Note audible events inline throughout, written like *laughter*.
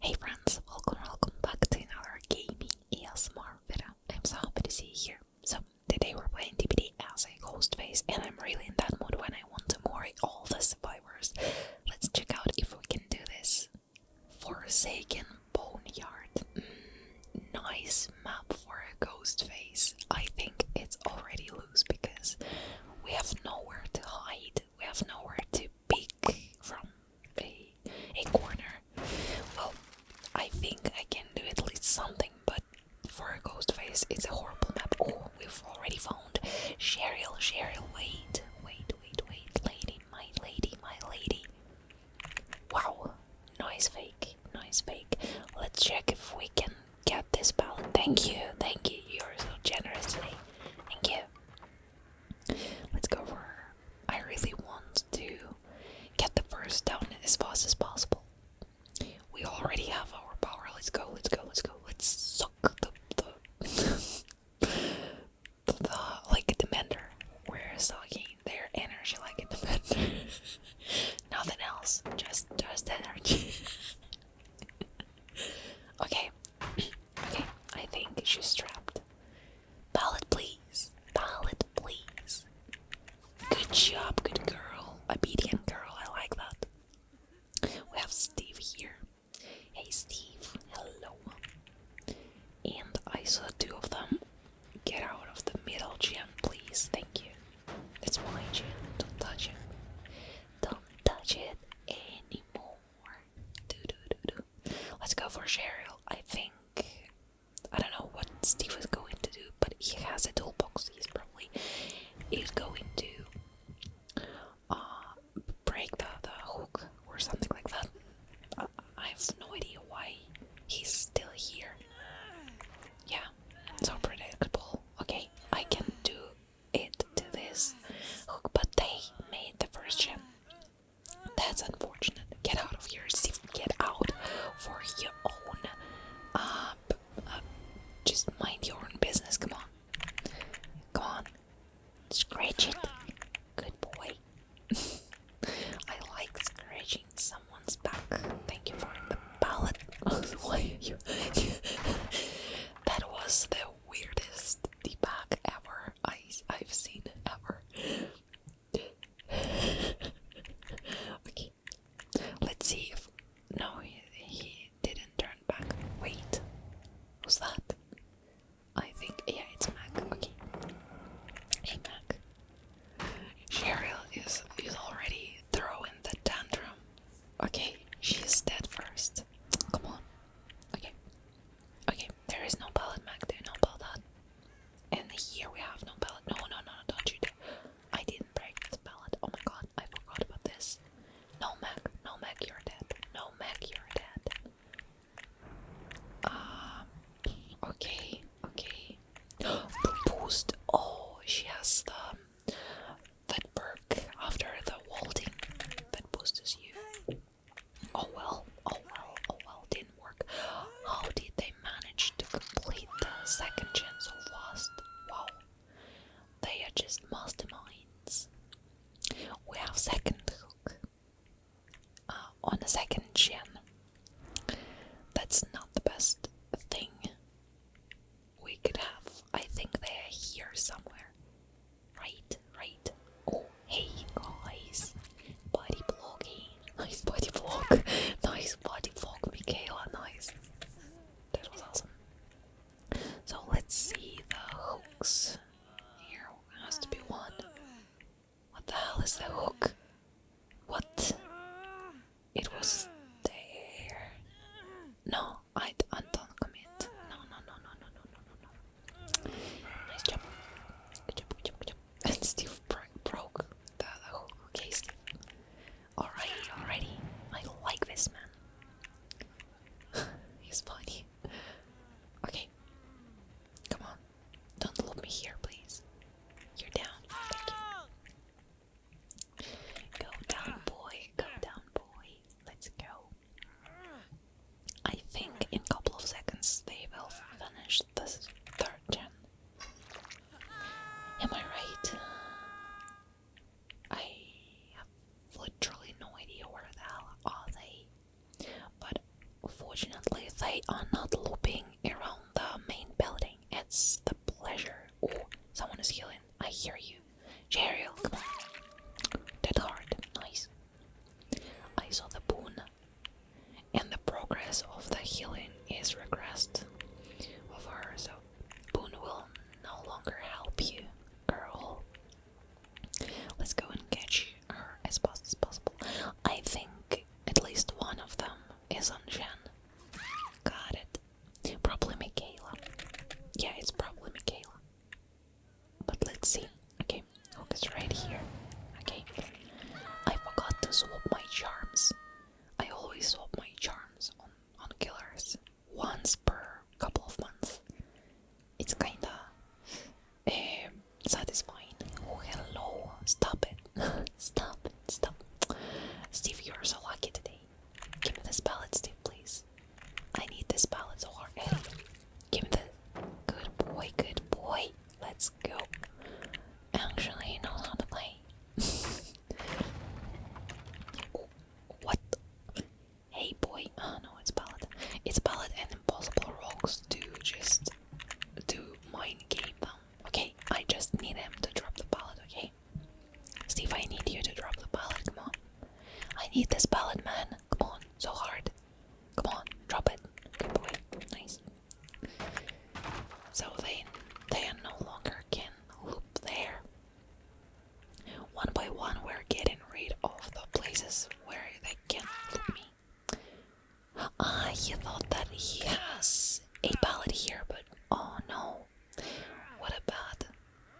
Hey friends, welcome, welcome back to another gaming ASMR video. I'm so happy to see you here. So, today we're playing DPD as a ghost face, and I'm really in that mood when I want to murder all the survivors. Let's check out if we can do this. Forsaken Boneyard. Mm, nice map for a ghost face. I think it's already loose because we have nowhere to hide, we have nowhere to peek from a, a corner. Well, I think I can do at least something, but for a ghost face, it's a horrible map. Oh, we've already found Cheryl. Cheryl, wait, wait, wait, wait, lady, my lady, my lady. Wow, noise fake, noise fake. Let's check if we can get this ball. Thank you, thank you. You're so generous today. Thank you. Let's go for her. I really want to get the first down as fast as possible. We already have our power. Let's go, let's go, let's go. Let's suck the the, *laughs* the, the like a demander. We're sucking their energy like the demander. *laughs* Nothing else. Just just energy. *laughs* okay, okay, I think she's trapped. Ballot, please. Ballot, please. Good job, good girl. Obedient girl, I like that. We have Steve here. Hey, Steve. Hello. And I saw two of them. Get out of the middle, Jim, please. Thank you. It's my Jim. Don't touch it. Don't touch it anymore. Do do do do Let's go for Cheryl. I think I don't know what Steve is going to do, but he has a toolbox. He's probably is going to uh, break the, the hook or something like that. I, I have no idea why he's still here. Yeah, so predictable. Okay, I can do it to this hook, but they made the first gem. That's unfortunate. Get out of here, Steve. Get out for your own. Uh, uh, just mind your own business. Come on. Come on. Scratch it. Good boy. *laughs* I like scratching someone's back. Thank you for the palette. *laughs* Why you? *laughs* that was the weirdest debug ever I, I've seen ever. okay, let's see if. No, he, he didn't turn back. Wait, who's that? I think, yeah, it's Mac. Okay. Hey, Mac. Cheryl is, is already throwing the tantrum. Okay, she's dead first. Come on. Okay. Okay, there is no pallet Mac there, no pallet. And here we have no pallet. No, no, no, don't you do I didn't break this pallet. Oh my god, I forgot about this. No Mac, no Mac, you're dead. No Mac, you're dead. Um, okay, okay. *gasps* Boost. Oh, she has the that perk after the walting that boosts you. Oh well, oh well, oh well, didn't work. How did they manage to complete the second gen so fast? Wow, they are just masterminds. We have second hook uh, on the second gen. That's not the best thing we could have. I think they are here somewhere. Right, right. Oh, hey guys. Body blogging. Nice body vlog. *laughs* nice body vlog, Michaela. Nice. That was awesome. So let's see the hooks. Here has to be one. What the hell is the hook? What? It was there. No, I'd Anton commit. No, no, no, no, no, no, no, no, no. Nice job. Good job, good job, good job. And *laughs* Steve bro broke the, the whole case. Alrighty, alrighty. I like this man. *laughs* He's funny. Okay. Come on. Don't loop me here, please. You're down. Thank you. Go down, boy. Go down, boy. Let's go. I think in a couple of seconds they will finish this third gen. Am I right? I have literally no idea where the hell are they. But fortunately they are not looping around the main building. It's the pleasure. Oh, someone is healing. I hear you. Cheryl, come on. That hard, nice. I saw the boon, and the progress of the healing is regressed of her, so boon will no longer help you, girl. Let's go and catch her as fast as possible. I think at least one of them is on Shen. Got it. Probably Michaela. Yeah, it's probably Michaela. But let's see. Okay, hook is right here. Okay. I forgot to swap my charms. I always swap my charms on, on killers once per couple of months. It's kinda um, satisfying. Oh, hello. Stop it. *laughs* stop Stop. Steve, you're so lucky today. Give me this palette, Steve, please. I need this palette so hard. Hey, give me the good boy, good boy. Let's go. Actually, he knows how to play. what? Hey boy. Oh no, it's palette. It's palette and impossible rocks to just to mine game them. Um, okay, I just need him to drop the palette, okay? Steve, I need you to drop the palette, come on. I need this ballot, man. Come on, so hard. Come on, drop it. Good boy. Nice. So they they no longer can loop there. One by one we're getting rid of the places where they can loop me. Ah, you thought that he has a ballot here, but oh no. What about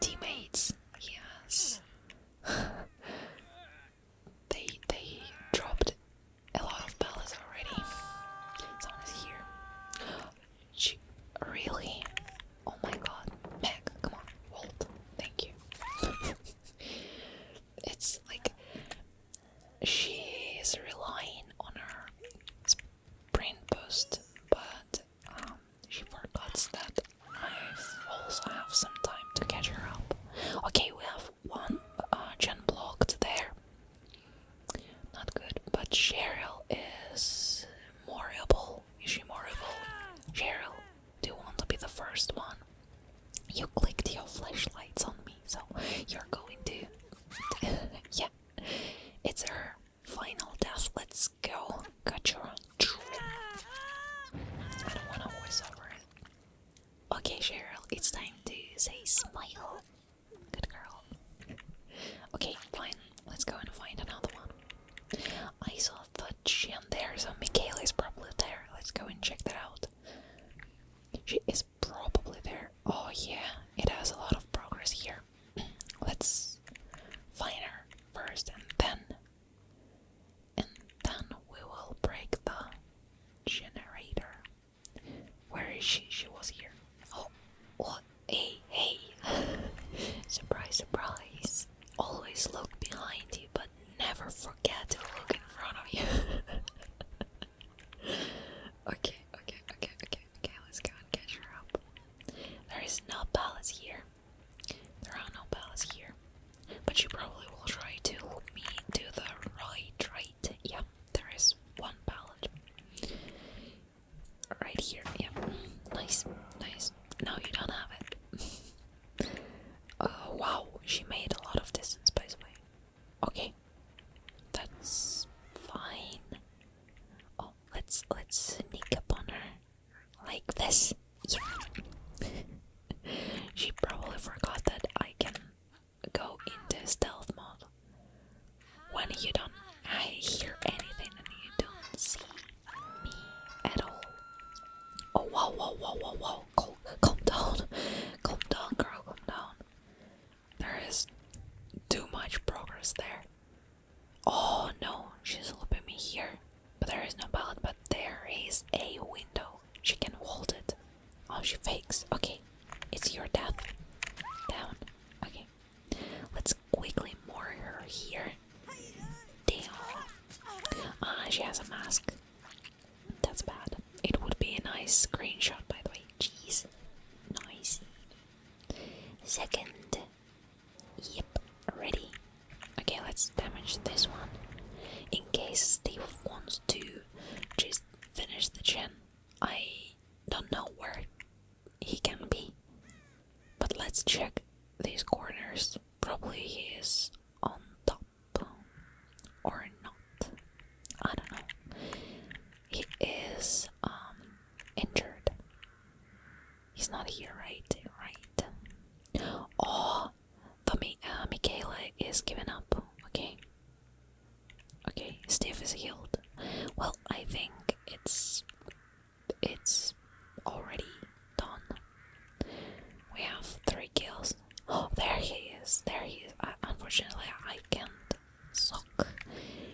teammates. Yes, *laughs* they they dropped a lot of pellets already. Someone is here. She really? Oh my God, Meg, come on, Walt, thank you. *laughs* it's like she is relying on her sprint boost, but um, she forgets that I also have some time to catch her up. Okay, we have one uh, gen blocked there. Not good, but Cheryl is morable. Is she morable? Cheryl, do you want to be the first one? You clicked your flashlights on me, so you're going to. *laughs* yeah, it's her. Final death, let's go. Got your I don't wanna voice over it. Okay, Cheryl, it's time to say smile. Good girl. Okay, fine. Let's go and find another one. I saw the gem there, so Michaela is probably there. Let's go and check that out. She is probably there. Oh yeah, it has a lot of progress here. *clears throat* Let's find her first and then and then we will break the generator. Where is she? She was here. Oh, what? Oh, hey, hey! *laughs* surprise, surprise! Always look behind you, but never forget to look in front of you. *laughs* okay, okay, okay, okay, okay, let's go and catch her up. There is no palace here. There are no bells here, but you probably will try to lead me to the right, right? Yeah, there is one pallet right here. Yeah, nice, nice. No, you don't have it. Oh *laughs* wow, she made a lot of distance, by the way. Okay, that's fine. Oh, let's let's sneak up on her like this. she probably forgot that I can go into stealth mode. When you don't I hear anything and you don't see me at all. Oh whoa whoa whoa whoa whoa calm, calm down. Calm down girl, calm down. There is too much progress there. Oh no, she's looping me here. But there is no pallet. but there is a window. She can hold it. Oh, she fakes. Okay, it's your death. Down. Okay, let's quickly moor her here. Damn. Ah, she has a mask. That's bad. It would be a nice screenshot, by the way. Jeez. Nice. Second Yep, ready. Okay, let's damage this one. In case Steve wants to just finish the gen, I don't know where he can be. But let's check these corners. Probably he is on top or not. I don't know. He is um, injured. He's not here, right? Right. Oh, the Mi uh, Michaela is giving up. Okay. Okay, Steve is healed. Well, I think it's it's already done. We have three kills. Oh, there he is. There he is. unfortunately, I can't suck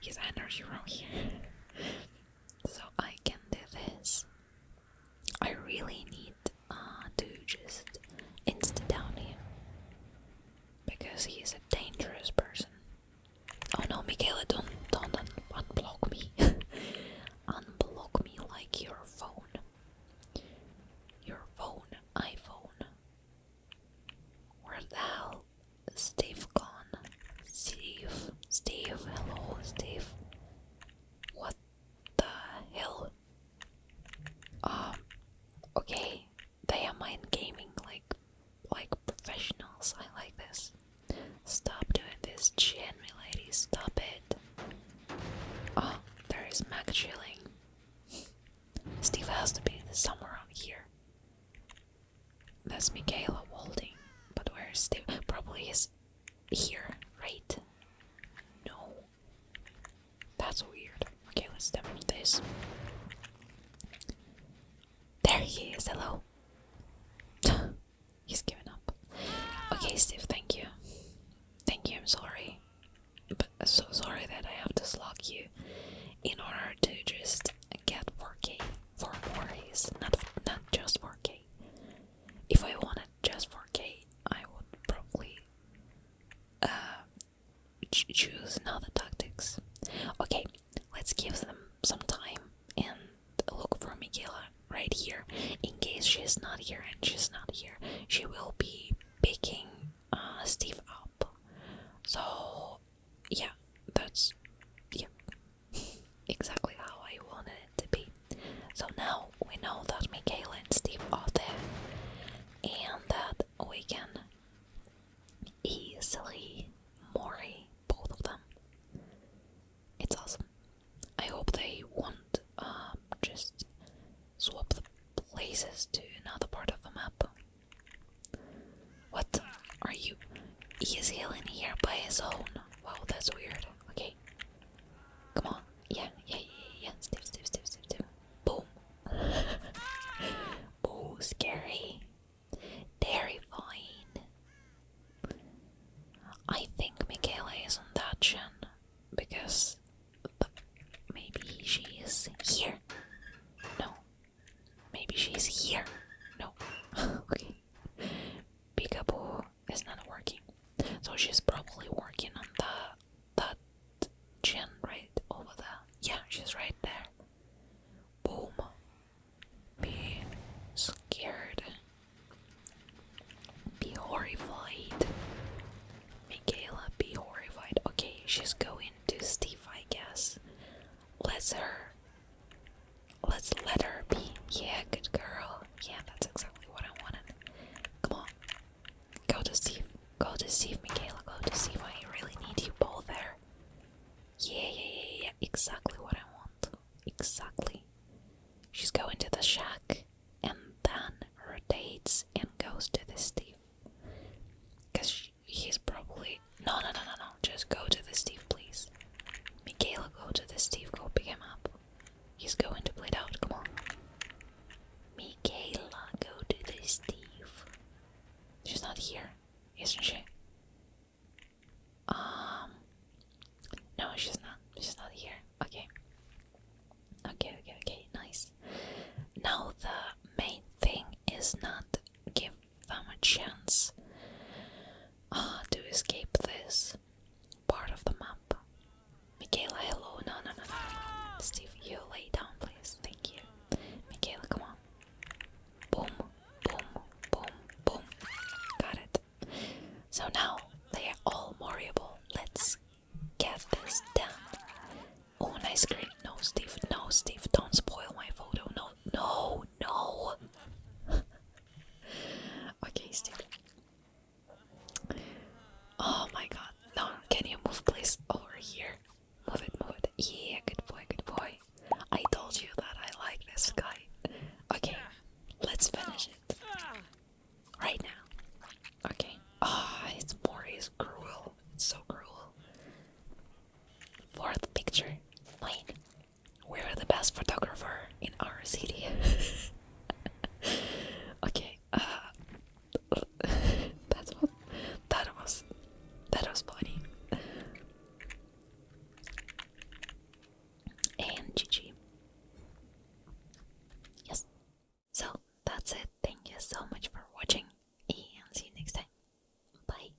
his energy from here so I can do this. I really need uh, to just insta down him because he is a dangerous person. Oh no, Michaela, don't don't, don't unblock me. *laughs* unblock me like your phone. Your phone, iPhone. Where the hell is Steve gone? Steve, Steve, hello, Steve. What the hell? Um, okay, they are mind gaming like, like professionals. I like this. Stop doing this, Jenny lady. Stop it. Oh, there is Mac chilling. Steve has to be somewhere around here. That's Michaela Walding. But where is Steve? Probably is here, right? No. That's weird. Okay, let's damage this. There he is, hello. *laughs* He's giving up. Okay, Steve, thank you. Thank you, I'm sorry. But uh, so sorry that I have to slug you in order to just get working for more A's, not, not just for K. If I wanted just for K, I would probably uh, choose another tactics. Okay, let's give them some time and look for Miguela right here. In case she's not here and she's not here, she will be picking uh, Steve up. So, yeah, that's yeah, exactly how I wanted it to be. So now we know that Michaela and Steve are there, and that we can easily Mori both of them. It's awesome. I hope they want um, just swap the places to another part of the map. What are you? He is healing here by his own. Wow, that's weird. Okay. Come on. Yeah, yeah, yeah, yeah. Steve, Steve, Steve, Steve, Steve. Boom. *laughs* oh, scary. Terrifying. I think Michaela is on that gen because maybe she is here. No. Maybe she's here. No. *laughs* okay. Peekaboo is not working. So she's probably working on the that gin right over there. Yeah, she's right there. Boom. Be scared. Be horrified. Michaela, be horrified. Okay, she's going to Steve, I guess. Let's her Let's let her be. Yeah, good girl. Yeah, that's exactly what I wanted. Come on. Go deceive. Go if Michaela. Go to see deceive. I really need you both there. Yeah, yeah, yeah, yeah. Exactly what I want. Exactly. She's going to the shack and then rotates and goes to the Steve. Because he's probably no, no, no, no, no. Just go to the Steve, please. Michaela, go to the Steve. Go pick him up. He's going to bleed out. Come on. Michaela, go to the Steve. She's not here, isn't she? Um. No, she's not. She's not here. Okay. Okay, okay, okay. Nice. Now the main thing is not give them a chance uh, to escape this part of the map. Michaela, hello. No, no, no, no, no. Steve, you lay down, please. Thank you. Michaela, come on. Boom, boom, boom, boom. Got it. So now they are all morable. Let's get this done. Oh, nice screen. No, Steve. No, Steve. Don't spoil my photo. No, no, no! *laughs* okay, still. Oh my god. No, can you move please over here? Move it, move it. Yeah, good boy, good boy. I told you that I like this guy. Okay, let's finish it. Right now. Okay. Ah, it's more cruel. It's so cruel. Fourth picture. Fine. We're the best photographer in our city. *laughs* okay, uh, *laughs* that's what that was. That was funny. And Gigi, Yes. So that's it. Thank you so much for watching, and see you next time. Bye.